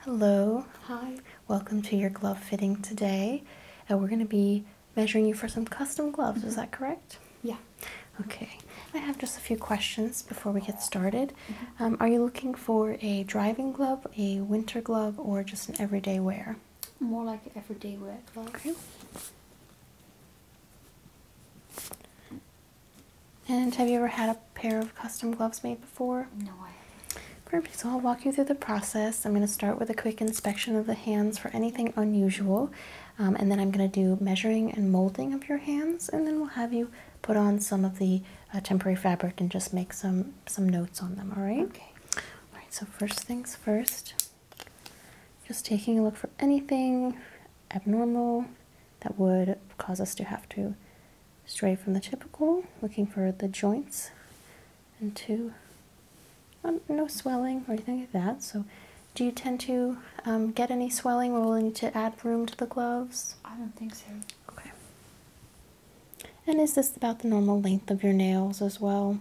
Hello. Hi. Welcome to your glove fitting today. Uh, we're going to be measuring you for some custom gloves, is mm-hmm. that correct? Yeah. Okay. I have just a few questions before we get started. Mm-hmm. Um, are you looking for a driving glove, a winter glove, or just an everyday wear? More like everyday wear glove. And have you ever had a pair of custom gloves made before? No, I Perfect. So I'll walk you through the process. I'm going to start with a quick inspection of the hands for anything unusual. Um, and then I'm going to do measuring and molding of your hands. And then we'll have you put on some of the uh, temporary fabric and just make some, some notes on them, all right? Okay. All right, so first things first. Just taking a look for anything abnormal, that would cause us to have to stray from the typical, looking for the joints, and two, um, no swelling or anything like that. So, do you tend to um, get any swelling or we'll need to add room to the gloves? I don't think so. Okay. And is this about the normal length of your nails as well?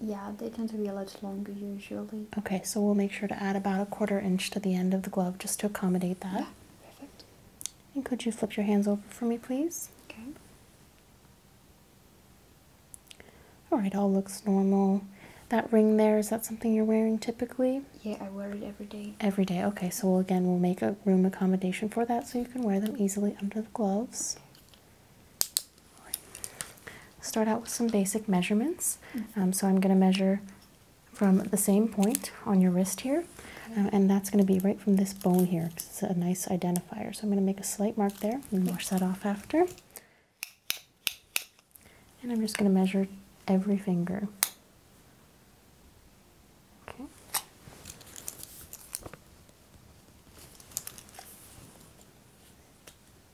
Yeah, they tend to be a lot longer usually okay, so we'll make sure to add about a quarter inch to the end of the glove just to accommodate that. Yeah, perfect. And could you flip your hands over for me, please? Okay. All right, all looks normal. That ring there, is that something you're wearing typically? Yeah, I wear it every day. Every day, okay. So again, we'll make a room accommodation for that so you can wear them easily under the gloves. Start out with some basic measurements. Mm. Um, so I'm going to measure from the same point on your wrist here, um, and that's going to be right from this bone here it's a nice identifier. So I'm going to make a slight mark there and wash that off after. And I'm just going to measure every finger. Okay.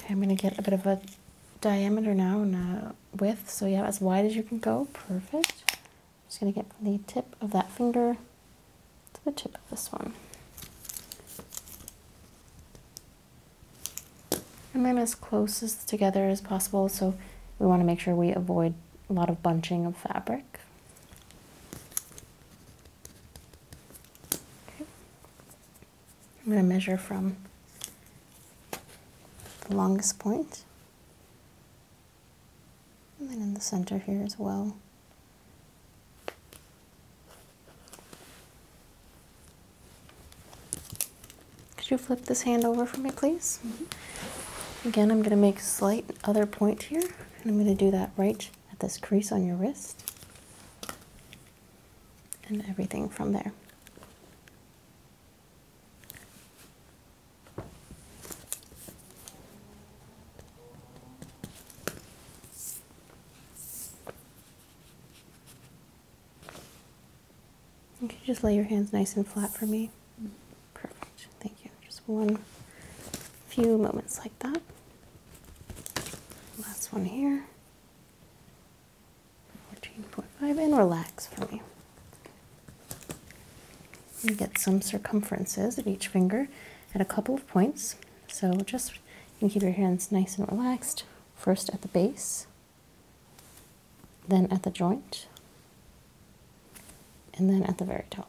Okay, I'm going to get a bit of a diameter now and a width. So yeah, as wide as you can go. Perfect. I'm just going to get the tip of that finger to the tip of this one. And then as close as together as possible. So we want to make sure we avoid a lot of bunching of fabric. Okay. I'm going to measure from the longest point and then in the center here as well. Could you flip this hand over for me, please? Mm-hmm. Again, I'm going to make slight other point here, and I'm going to do that right at this crease on your wrist and everything from there. You can just lay your hands nice and flat for me. Perfect. Thank you. Just one few moments like that. Last one here. 14.5 and relax for me. get some circumferences in each finger at a couple of points. So just you keep your hands nice and relaxed, first at the base, then at the joint, and then at the very top.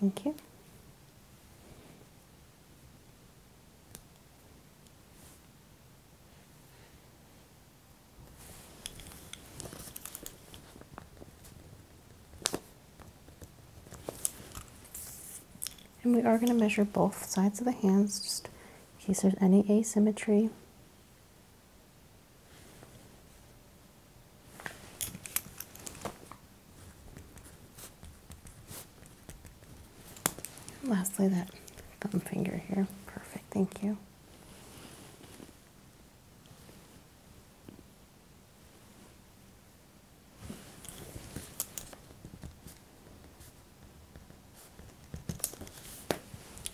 Thank you. And we are going to measure both sides of the hands just in case there's any asymmetry lastly, that thumb finger here. Perfect, thank you.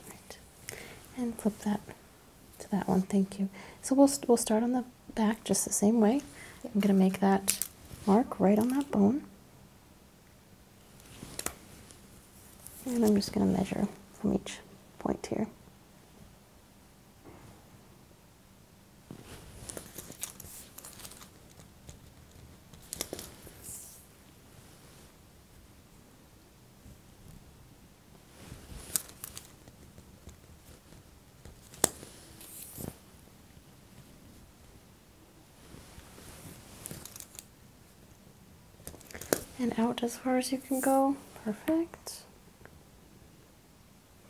Right. And flip that to that one, thank you. So we'll, we'll start on the back just the same way. I'm going to make that mark right on that bone. And I'm just going to measure from each point here and out as far as you can go. Perfect.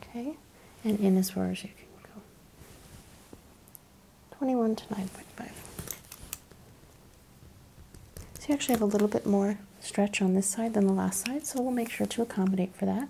Okay, and in as far as you can go. 21 to 9.5. So you actually have a little bit more stretch on this side than the last side, so we'll make sure to accommodate for that.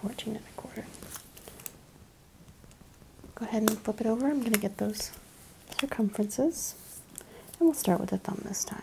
14 and a quarter. Go ahead and flip it over. I'm going to get those circumferences and we'll start with the thumb this time.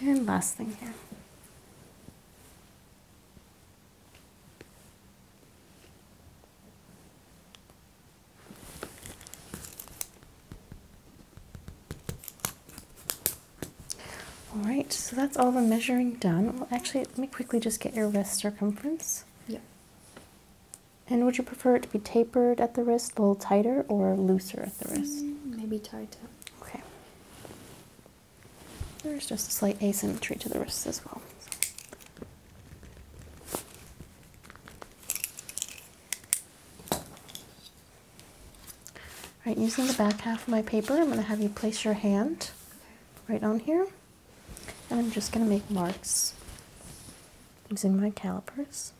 And last thing here. All right, so that's all the measuring done. Well, actually, let me quickly just get your wrist circumference. Yeah. And would you prefer it to be tapered at the wrist, a little tighter, or looser at the mm, wrist? maybe tighter. Okay. There's just a slight asymmetry to the wrist as well. All right, using the back half of my paper, I'm going to have you place your hand right on here. And I'm just going to make marks using my calipers.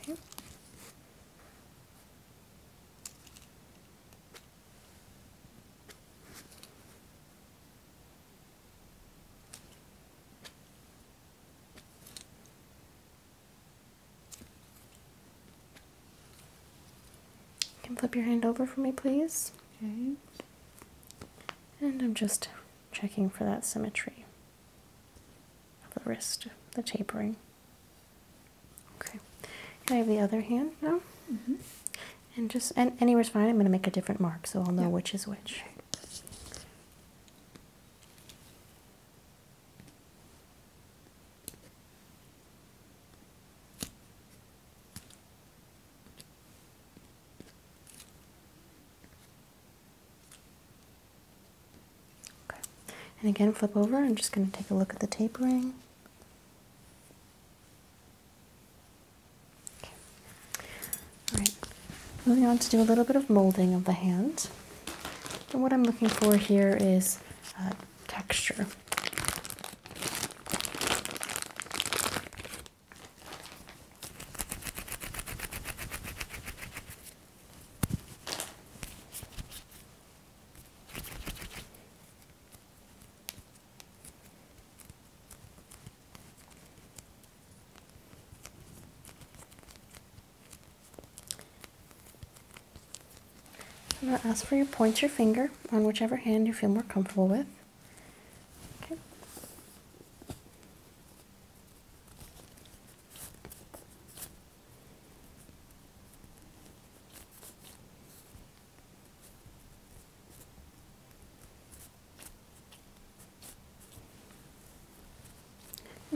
Okay. can flip your hand over for me, please. Okay. And I'm just checking for that symmetry of the wrist, the tapering. Okay, and I have the other hand now. Mm-hmm. And just and anywhere's fine. I'm going to make a different mark so I'll know which is which. Okay. And again, flip over. I'm just going to take a look at the tapering. Okay. All right. Moving on to do a little bit of molding of the hand. And what I'm looking for here is uh, texture. I'm going to ask for you to point your finger on whichever hand you feel more comfortable with. Okay.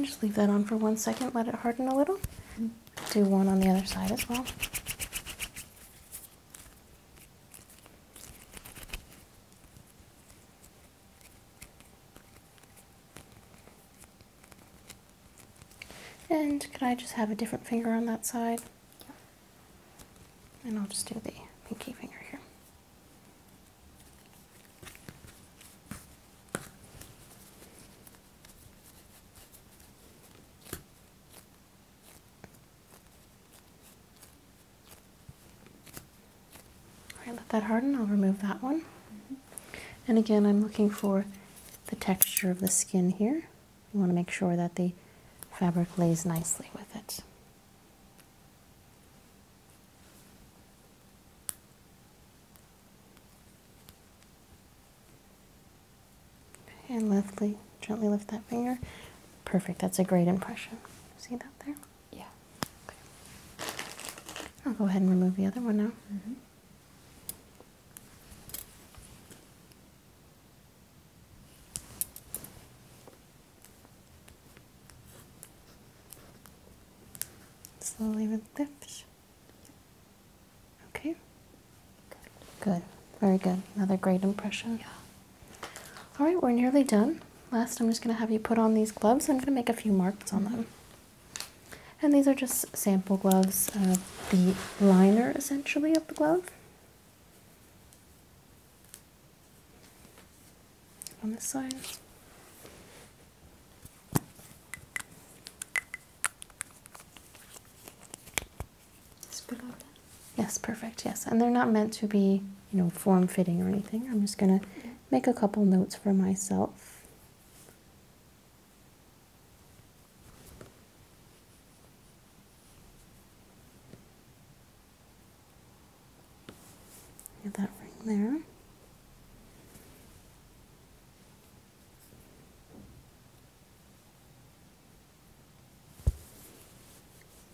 just leave that on for one second, let it harden a little. do one on the other side as well. And can I just have a different finger on that side? And I'll just do the pinky finger here. All right, let that harden. I'll remove that one. And again, I'm looking for the texture of the skin here. You want to make sure that the fabric lays nicely with it. And lastly, Gently lift that finger. Perfect. That's a great impression. See that there? Yeah. Okay. I'll go ahead and remove the other one now. Mm-hmm. Slowly with lift. Okay. Good. Good. Very good. Another great impression. Yeah. All right, we're nearly done. Last, I'm just going to have you put on these gloves. I'm going to make a few marks on them. And these are just sample gloves, the liner essentially of the glove. On this side. Just below that. Yes, perfect. Yes, and they're not meant to be, you know, form fitting or anything. I'm just going to make a couple notes for myself. that ring there.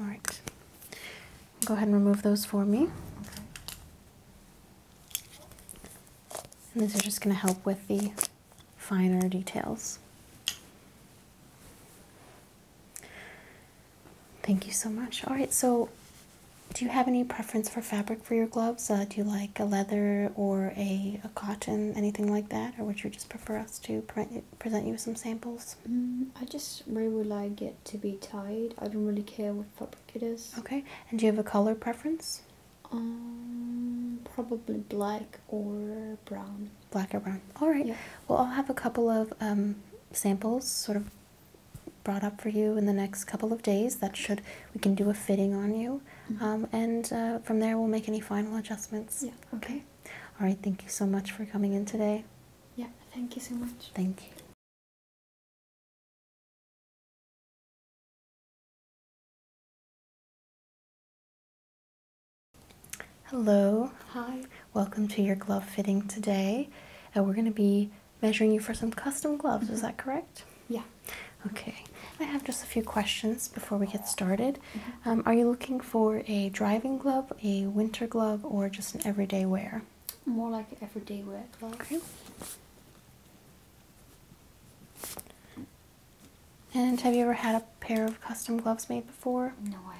All right. Go ahead and remove those for me. And these are just going to help with the finer details. Thank you so much. All right, so do you have any preference for fabric for your gloves? Uh, do you like a leather or a, a cotton, anything like that? Or would you just prefer us to pre present you with some samples? Mm, I just really would like it to be tied. I don't really care what fabric it is. Okay, and do you have a color preference? Um, probably black or brown. Black or brown. All right. Yeah. Well, I'll have a couple of um, samples sort of brought up for you in the next couple of days. That should, we can do a fitting on you. Mm-hmm. Um, and uh, from there, we'll make any final adjustments. Yeah. Okay. All right. Thank you so much for coming in today. Yeah. Thank you so much. Thank you. Hello. Hi. Welcome to your glove fitting today. And uh, we're going to be measuring you for some custom gloves, is that correct? Mm-hmm. Yeah. Okay. I have just a few questions before we get started. Mm-hmm. Um, are you looking for a driving glove, a winter glove, or just an everyday wear? More like an everyday wear glove. Okay. And have you ever had a pair of custom gloves made before? No, I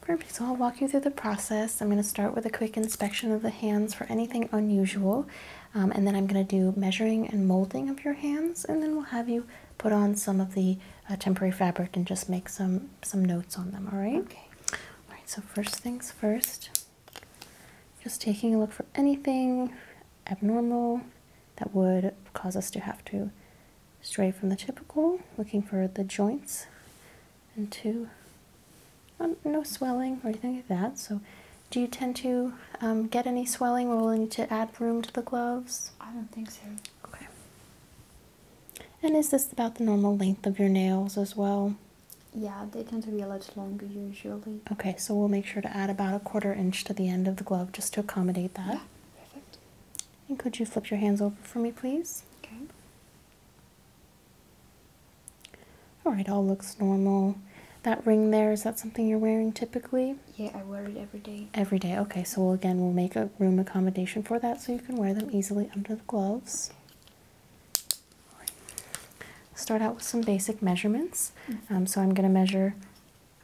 Perfect. So I'll walk you through the process. I'm going to start with a quick inspection of the hands for anything unusual, um, and then I'm going to do measuring and molding of your hands, and then we'll have you put on some of the uh, temporary fabric and just make some some notes on them. All right. Okay. All right. So first things first. Just taking a look for anything abnormal that would cause us to have to stray from the typical, looking for the joints and two, um, no swelling or anything like that. So, do you tend to um, get any swelling? or We're need to add room to the gloves. I don't think so. Okay. And is this about the normal length of your nails as well? Yeah, they tend to be a lot longer usually. Okay, so we'll make sure to add about a quarter inch to the end of the glove just to accommodate that. Yeah, perfect. And could you flip your hands over for me, please? Okay. All right, all looks normal. That ring there, is that something you're wearing typically? Yeah, I wear it every day. Every day, okay. So again, we'll make a room accommodation for that so you can wear them easily under the gloves. Start out with some basic measurements. Mm. Um, so I'm going to measure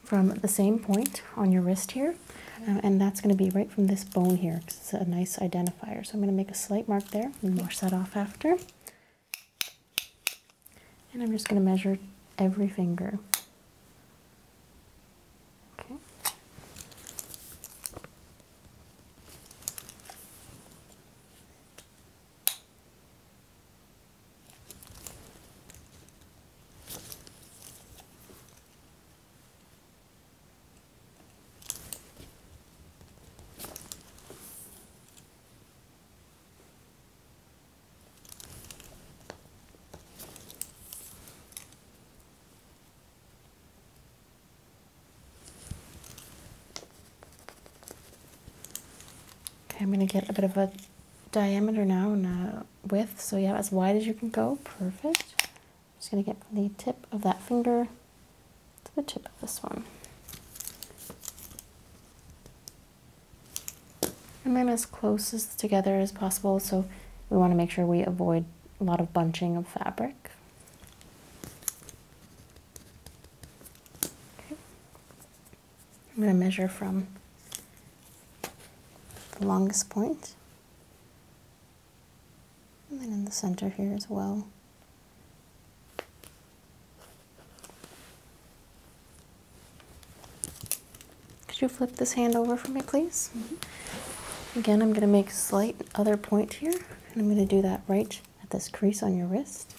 from the same point on your wrist here, um, and that's going to be right from this bone here because it's a nice identifier. So I'm going to make a slight mark there and wash that off after. And I'm just going to measure every finger. Okay. Okay, I'm going to get a bit of a diameter now and width. So yeah, as wide as you can go. Perfect. just going to get the tip of that finger to the tip of this one. And then as close as together as possible. So we want to make sure we avoid a lot of bunching of fabric. I'm going to measure from the longest point and then in the center here as well. Could you flip this hand over for me, please? Mm-hmm. Again, I'm going to make a slight other point here, and I'm going to do that right at this crease on your wrist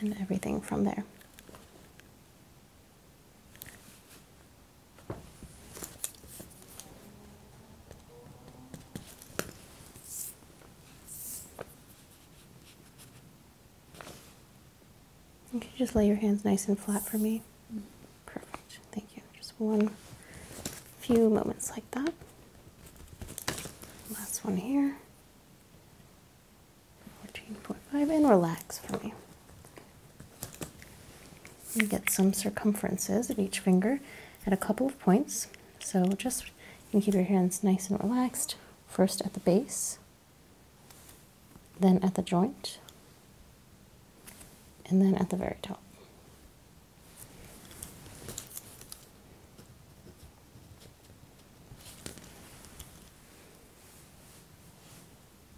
and everything from there. You can just lay your hands nice and flat for me. Perfect. Thank you. Just one few moments like that. Last one here. 14.5 and relax for me. get some circumferences of each finger at a couple of points. So just you keep your hands nice and relaxed, first at the base, then at the joint, and then at the very top.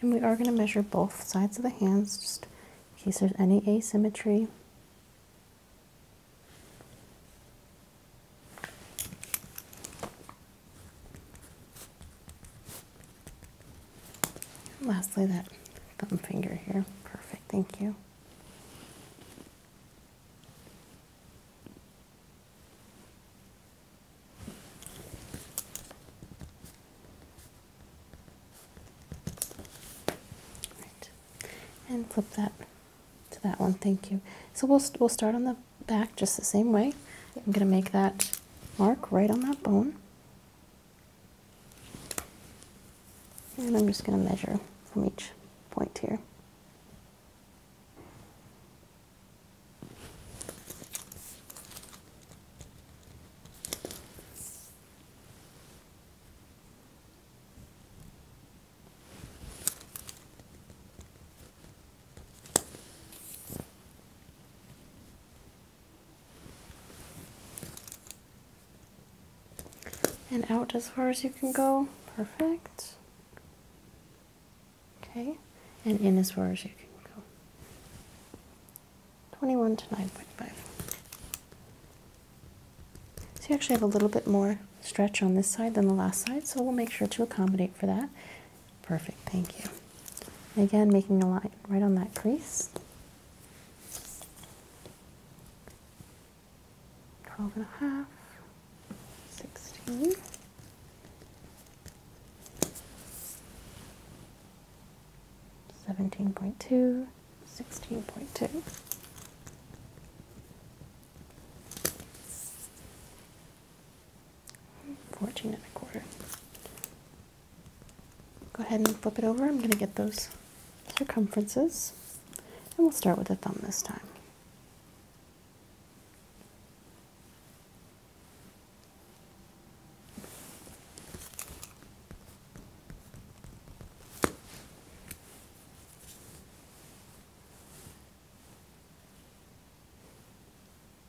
And we are going to measure both sides of the hands just in case there's any asymmetry. And lastly, that thumb finger here. Perfect, thank you. Right. And flip that to that one. Thank you. So we'll we'll start on the back just the same way. I'm going to make that mark right on that bone. And I'm just going to measure from each point here. And out as far as you can go. Perfect. Okay. And in as far as you can go. 21 to 9.5. So you actually have a little bit more stretch on this side than the last side, so we'll make sure to accommodate for that. Perfect, thank you. Again, making a line right on that crease. 12 and a half, 16. Seventeen point two, sixteen point two. Fourteen and a quarter. Go ahead and flip it over. I'm going to get those circumferences and we'll start with the thumb this time.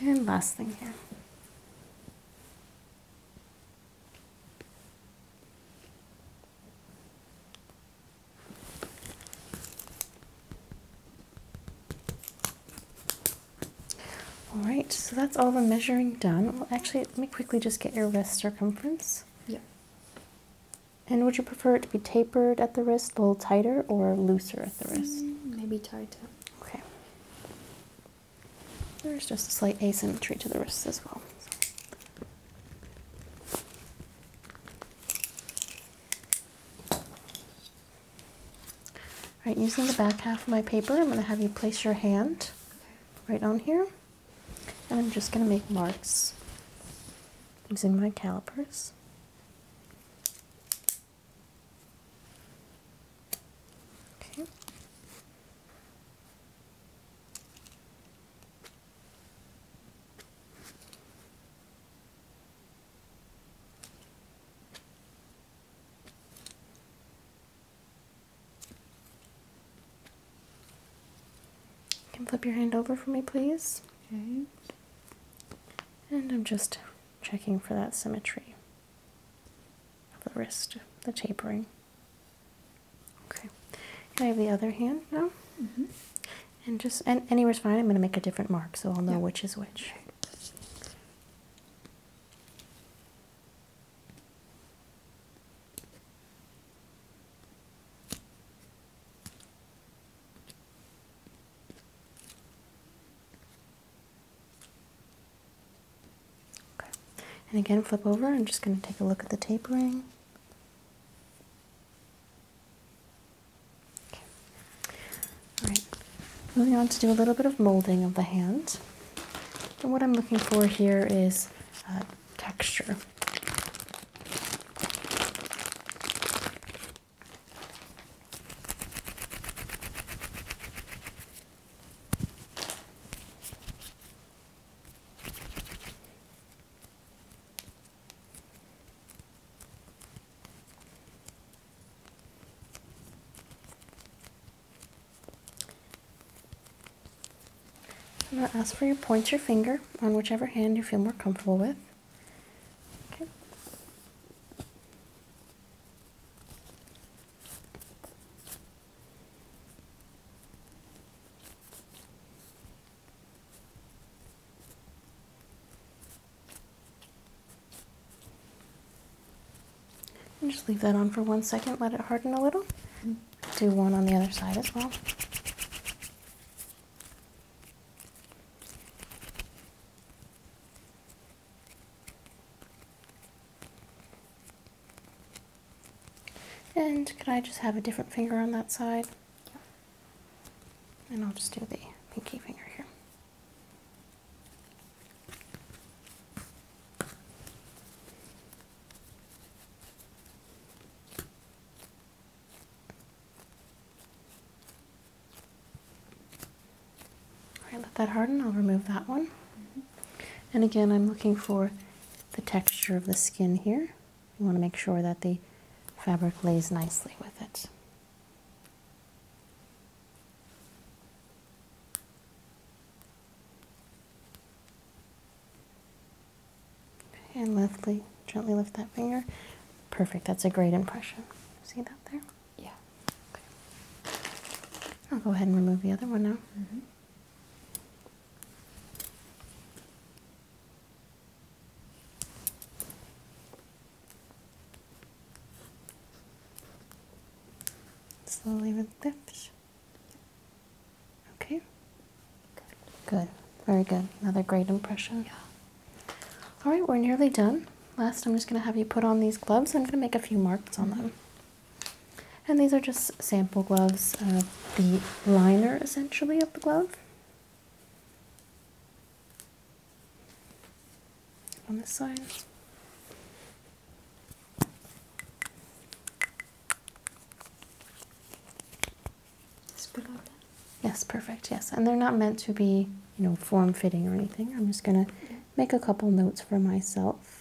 And last thing here. All right, so that's all the measuring done. Well, actually, let me quickly just get your wrist circumference. Yeah. And would you prefer it to be tapered at the wrist, a little tighter, or looser at the wrist? Mm, maybe tighter. Okay. There's just a slight asymmetry to the wrists as well. So. using the back half of my paper, I'm going to have you place your hand right on here, and I'm just going to make marks using my calipers. Okay. You can flip your hand over for me, please. Okay. And I'm just checking for that symmetry of the wrist, the tapering. Okay. I have the other hand now? Mm-hmm. And just and anywhere's fine. I'm going to make a different mark, so I'll know which is which. Okay. And again, flip over. I'm just going to take a look at the tapering. Okay. All right. Moving on to do a little bit of molding of the hand. And what I'm looking for here is uh, texture. I'm going to ask for you to point your finger on whichever hand you feel more comfortable with. Okay just leave that on for one second, let it harden a little. Mm-hmm. do one on the other side as well. And can I just have a different finger on that side? Yeah. And I'll just do the pinky finger here. All right, let that harden. I'll remove that one. And again, I'm looking for the texture of the skin here. You want to make sure that the fabric lays nicely with it. And liftly, gently lift that finger. Perfect. That's a great impression. See that there? Yeah. Okay. I'll go ahead and remove the other one now. Mm-hmm. Slowly with lift. Okay. Good. Good. Very good. Another great impression. Yeah. All right, we're nearly done. Last, I'm just going to have you put on these gloves. I'm going to make a few marks on them. And these are just sample gloves, the liner essentially of the glove. On this side. Yes, perfect. Yes, and they're not meant to be, you know, form fitting or anything. I'm just gonna make a couple notes for myself.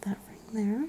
that ring there.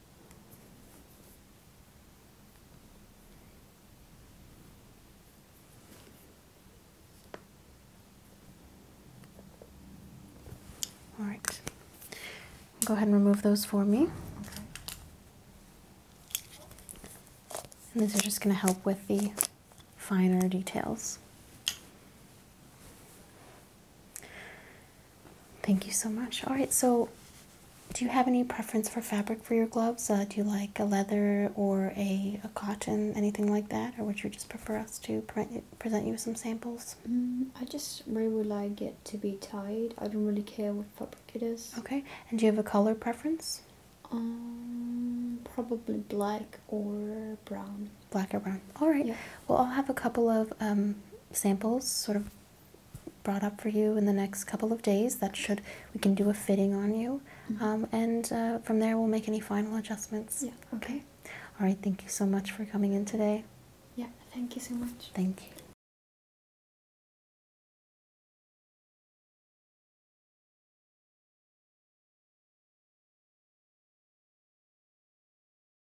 All right. Go ahead and remove those for me. And these are just going to help with the finer details. Thank you so much. All right, so do you have any preference for fabric for your gloves? Uh, do you like a leather or a, a cotton, anything like that? Or would you just prefer us to pre present you with some samples? Mm, I just really would like it to be tied. I don't really care what fabric it is. Okay, and do you have a color preference? Um, probably black or brown. Black or brown. All right. Yeah. Well, I'll have a couple of um, samples sort of brought up for you in the next couple of days that should we can do a fitting on you mm-hmm. um, and uh, from there we'll make any final adjustments yeah okay all right thank you so much for coming in today yeah thank you so much thank you